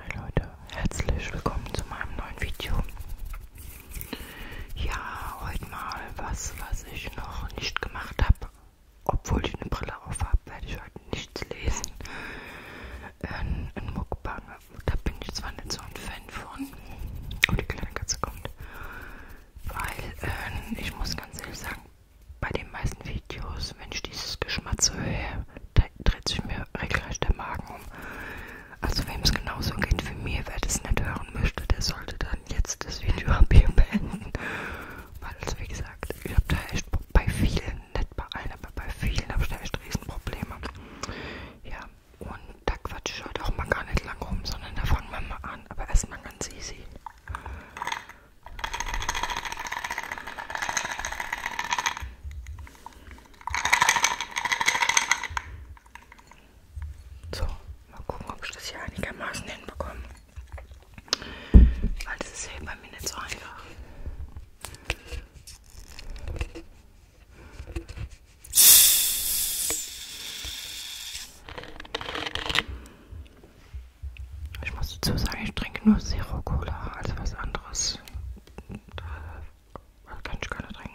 Hi Leute, herzlich willkommen zu meinem neuen Video. Ja, heute mal was, was ich noch nicht gemacht habe. Obwohl ich eine Brille auf habe, werde ich heute nichts lesen. Ähm, ein, ein Muckbang, da bin ich zwar nicht so ein Fan von. Oh, die kleine Katze kommt. Weil, äh, ich muss ganz ehrlich sagen, bei den meisten Videos, wenn ich dieses Geschmatze höre, dreht sich mir regelrecht der Magen um. Also wem es genauso geht wie mir, wer das nicht hören möchte, der sollte dann jetzt das Video ab hier beenden. Weil, also wie gesagt, ich habe da echt bei vielen, nicht bei allen, aber bei vielen habe ich da echt Riesenprobleme. Ja, und da quatsche ich heute halt auch mal gar nicht lang rum, sondern da fangen wir mal an, aber erstmal ganz easy. So, mal gucken, ob ich das hier einigermaßen hinbekomme. Weil das ist ja bei mir nicht so einfach. Ich muss dazu sagen, ich trinke nur Zero Cola, also was anderes das kann ich gar nicht trinken.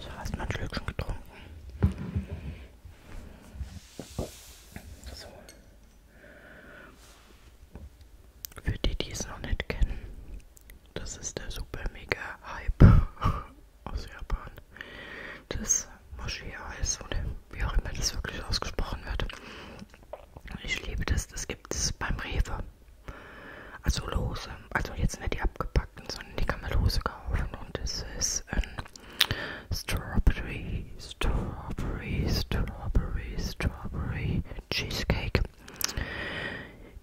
So, hast du mal ein Schlückchen getrunken. So. Für die, die es noch nicht kennen, das ist der super mega Hype aus Japan. Das Moshi-Eis oder wie auch immer das wirklich ausgesprochen wird. Ich liebe das, das gibt es beim Rewe. Also lose, also jetzt nicht die abgepackten ausgepackt und so eine dicke Melose kaufen und es ist ein Strawberry, Strawberry, Strawberry, Strawberry Cheesecake.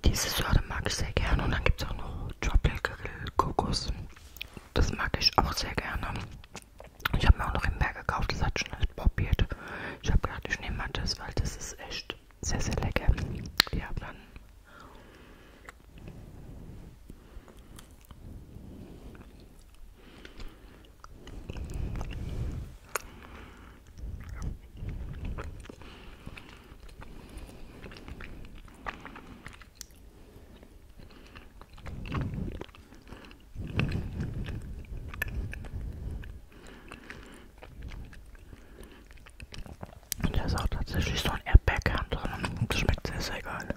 Diese Sorte mag ich sehr gerne und dann gibt es auch noch Tropical Kokos. Das mag ich auch sehr gerne. Ich habe mir auch noch im Meer gekauft, das hat schon nicht probiert. Ich habe gedacht, ich nehme mal das, weil das ist echt sehr, sehr lecker. Wir haben dann und da ist auch tatsächlich so ein Erdbeerkern drin. Das schmeckt sehr, sehr geil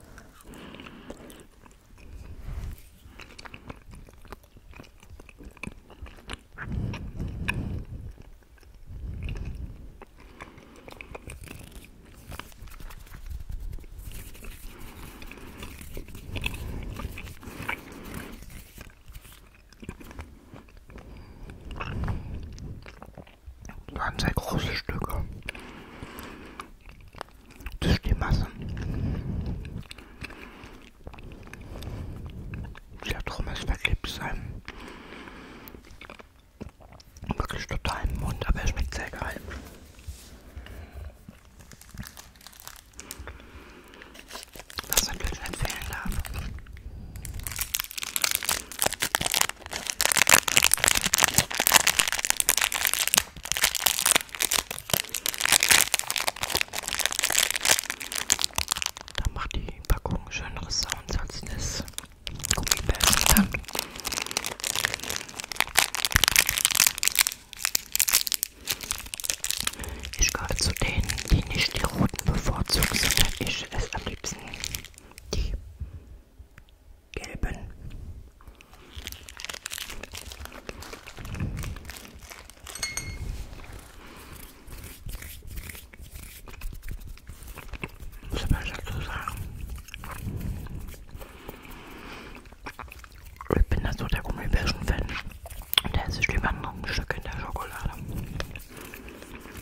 waren sehr große Stücke. Das ist die Masse. Der Drum ist verklebt sein. Wirklich total im Mund, aber er schmeckt sehr geil. Was natürlich nicht fehlen darf. Da macht die Packung schönere Sounds als das Gummibärchen. Ich gehöre zu denen, die nicht die roten bevorzugen, sondern ich esse am liebsten die gelben. Muss man dazu sagen. Ich bin da so der Gummibärchen-Fan. Da ist es lieber noch ein Stück in der Schokolade.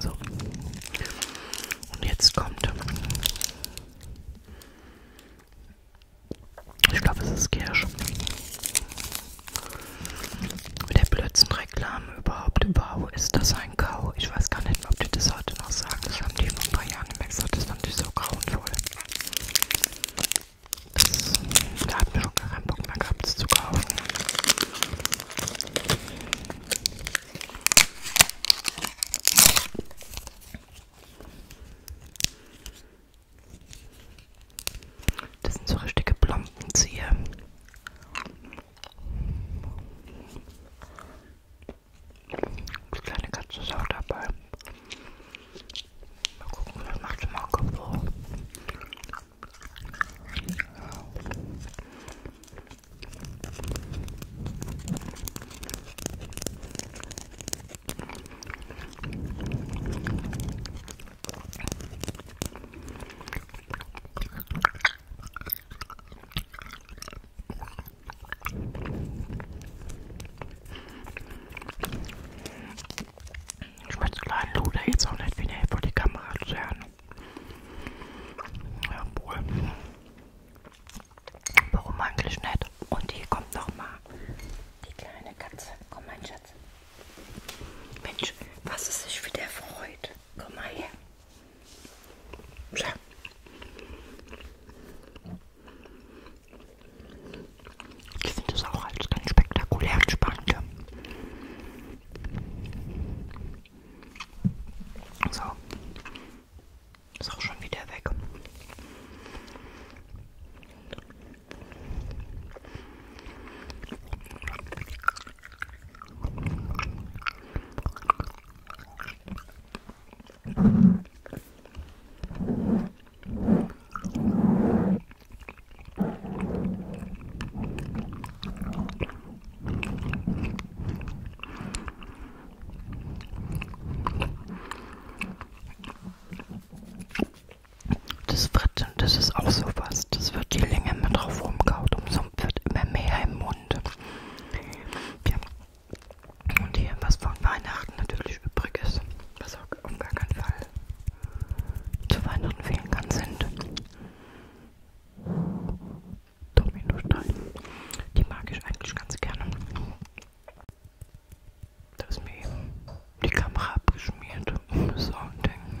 So. Und jetzt kommt. Ich glaube, es ist Kirsch. Mit der blödsten Reklame überhaupt wow, ist das ein Kau? Ich weiß gar nicht mehr, ob die das heute noch sagen. Das haben die vor ein paar Jahren nicht mehr gesagt. Das fand ich so grauenvoll. Das, da hat mir schon keinen Bock mehr gehabt, das zu kaufen. Das sind so richtige Blombenzieher. Die kleine Katze ist auch dabei. Mal gucken, vielleicht macht sie mal ein Kopfhoch. Ich meine, so kleinen Luder jetzt auch nicht wieder vor die Kamera zu hören. Jawohl. Warum eigentlich nicht? Und hier kommt nochmal die kleine Katze. Komm, mein Schatz. Mensch, was es sich wieder freut. Komm mal her. Tja. Ich finde es auch als ganz spektakulär und spannend. So. Ist auch schon wieder weg. Das Fritt, das ist auch sowas ist. Es wird je länger man drauf rumkaut, umso wird immer mehr im Mund. Ja. Und hier, was von Weihnachten natürlich übrig ist, was auch auf gar keinen Fall zu Weihnachten fehlen kann, sind Dominosteine. Die mag ich eigentlich ganz gerne. Da ist mir eben die Kamera abgeschmiert. So ein Ding.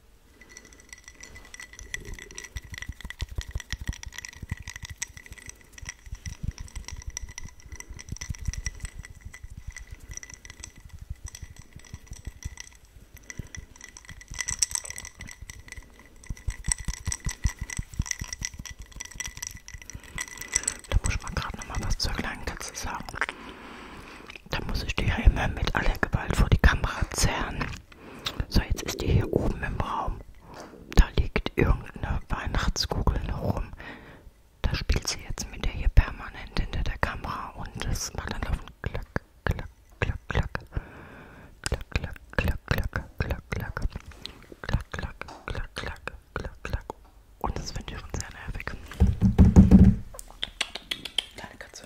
Da muss man gerade noch mal was zur kleinen Katze sagen. Da muss ich die ja immer mit aller Gewalt vor die Kamera zerren. So, jetzt ist die hier oben im Raum. Da liegt irgendeine Weihnachtskugel noch rum. Da spielt sie jetzt mit der hier permanent hinter der Kamera und das macht dann laufen klack, klack, klack, klack. Klack, klack, klack, klack, klack, klack. Klack, klack, klack, klack, klack, klack. Und das finde ich schon sehr nervig. Kleine Katze.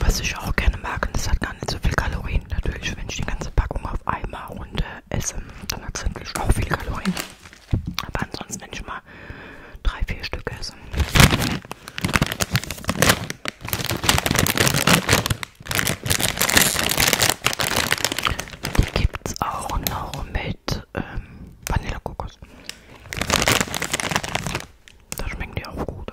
Was ich auch gerne mag, und es hat gar nicht so viel Kalorien. Natürlich, wenn ich die ganze Packung auf einmal runter esse, dann hat es auch viele Kalorien. Aber ansonsten, wenn ich mal drei, vier Stück esse. Die gibt es auch noch mit ähm, Vanillekokos. Da schmecken die auch gut.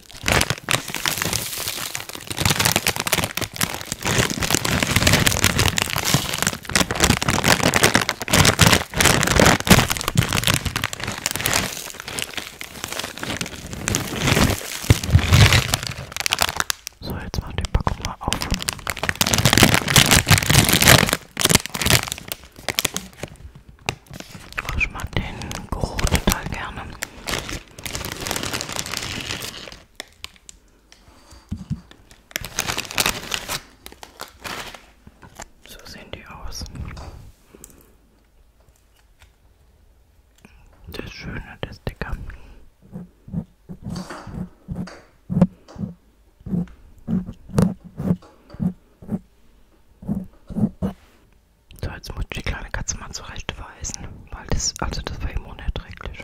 So, jetzt mach die Packung mal auf. Ich mag den Geruch total gerne. So sehen die aus. Das Schöne, das Dicker. So, jetzt muss ich die kleine Katze mal zurechtweisen, weil das, also das war ihm unerträglich.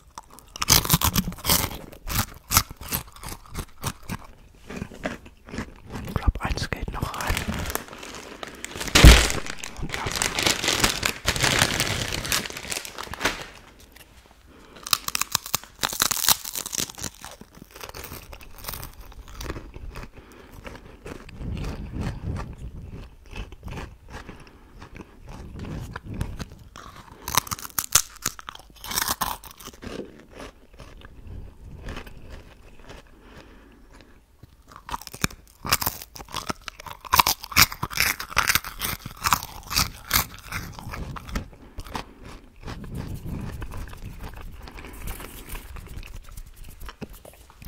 Ich glaube, eins geht noch rein. Und dann.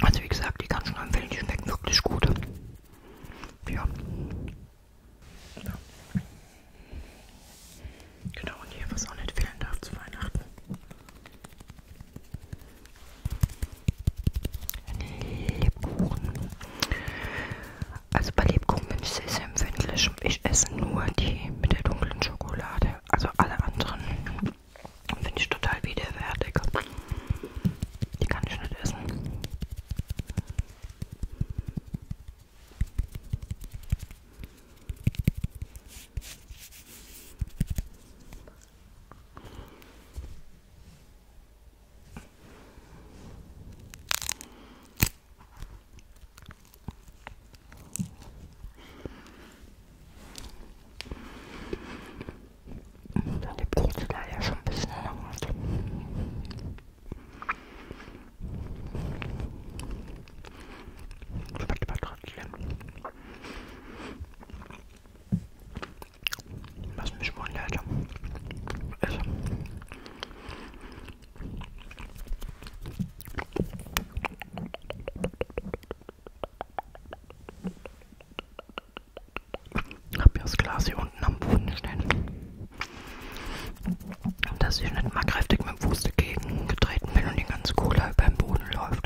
Also wie gesagt, die kann schon empfehlen, die schmecken wirklich gut. Ja. Ja. Genau, und hier, was auch nicht fehlen darf zu Weihnachten. Lebkuchen. Also bei Lebkuchen bin ich sehr, sehr empfindlich. Ich esse nur die mit der dunklen Schokolade. Also alle anderen finde ich total widerwärtig. Die kann ich nicht essen. Da liegt jetzt leider schon ein bisschen in der Hand. Schmeckt aber trotzdem. Was mich wundert, ist, ich habe ja das Glas hier unten am Boden stehen dass ich nicht mal kräftig mit dem Fuß dagegen getreten bin und die ganze Cola über den Boden läuft.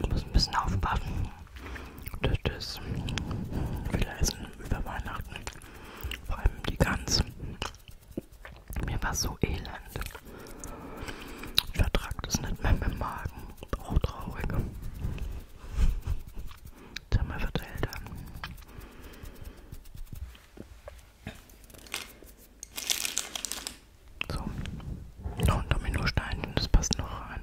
Ich muss ein bisschen aufpassen, dass das wieder Essen über Weihnachten, vor allem die Gans, mir war so elend. Ich vertrag das nicht mehr mit dem Magen. Auch traurig. Das haben wir verteilt. So. Noch ein Dominosteinchen, das passt noch rein.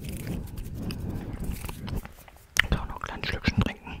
Ich kann auch noch ein kleines Schlückchen trinken.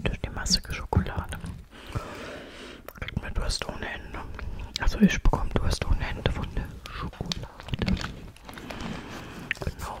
Durch die massige Schokolade kriegt man Durst ohne Ende. Also ich bekomme Durst ohne Ende von der Schokolade. Genau.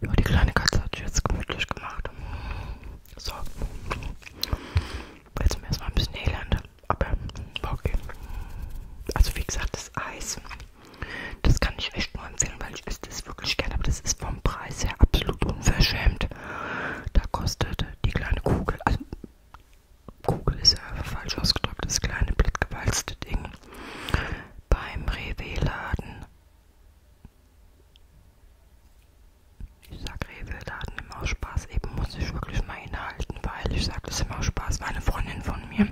Ja, die kleine Katze hat sich jetzt gemütlich gemacht. So. Jetzt mir erstmal ein bisschen Elend. Aber okay. Also wie gesagt, das Eis, das kann ich echt nur empfehlen, weil ich esse das wirklich gerne. Aber das ist vom Preis her absolut unverschämt. Da kostet die kleine Kugel, also Kugel ist ja falsch ausgedrückt, das kleine blitzgewalzte Ding beim Rewe-Laden. Ich sag Rewe-Laden immer aus Spaß. Eben muss ich wirklich mal inhalten, weil ich sage das immer aus Spaß. Meine Freundin von mir,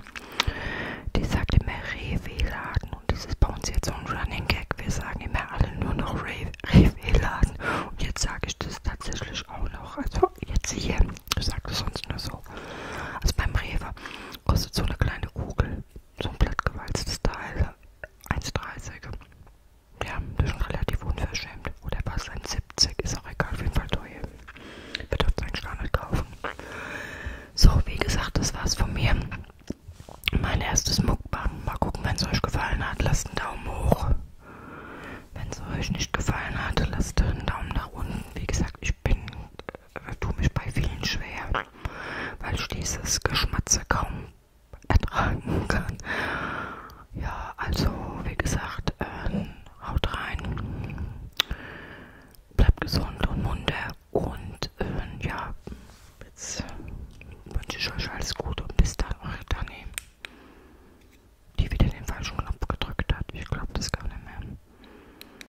die sagt immer Rewe-Laden. Und das ist bei uns jetzt so ein Running Gag. Wir sagen immer alle nur noch Rewe-Laden. Und jetzt sage ich das tatsächlich auch noch. Also jetzt hier. Ich sage das sonst nur so. Also beim Rewe kostet so eine kleine Kugel so ein plattgewalztes Teil, 1,30. Ja, das ist schon relativ unverschämt. Oder was, 1,70 ist auch egal, auf jeden Fall teuer. Bitte auf seinen Standard kaufen. So, wie gesagt, das war's von mir. Mein erstes Mukbang. Mal gucken, wenn es euch gefallen hat, lasst einen Daumen hoch. Wenn es euch nicht gefallen hat, lasst einen Daumen nach unten. Wie gesagt, ich bin äh, tue mich bei vielen schwer, weil ich dieses Geschmatze kaum ertragen kann. Ja, also wie gesagt, äh, haut rein, bleibt gesund und munter und äh, ja, jetzt wünsche ich euch alles Gute und bis dann, eure Dani, die wieder den falschen Knopf gedrückt hat. Ich glaube das gar nicht mehr.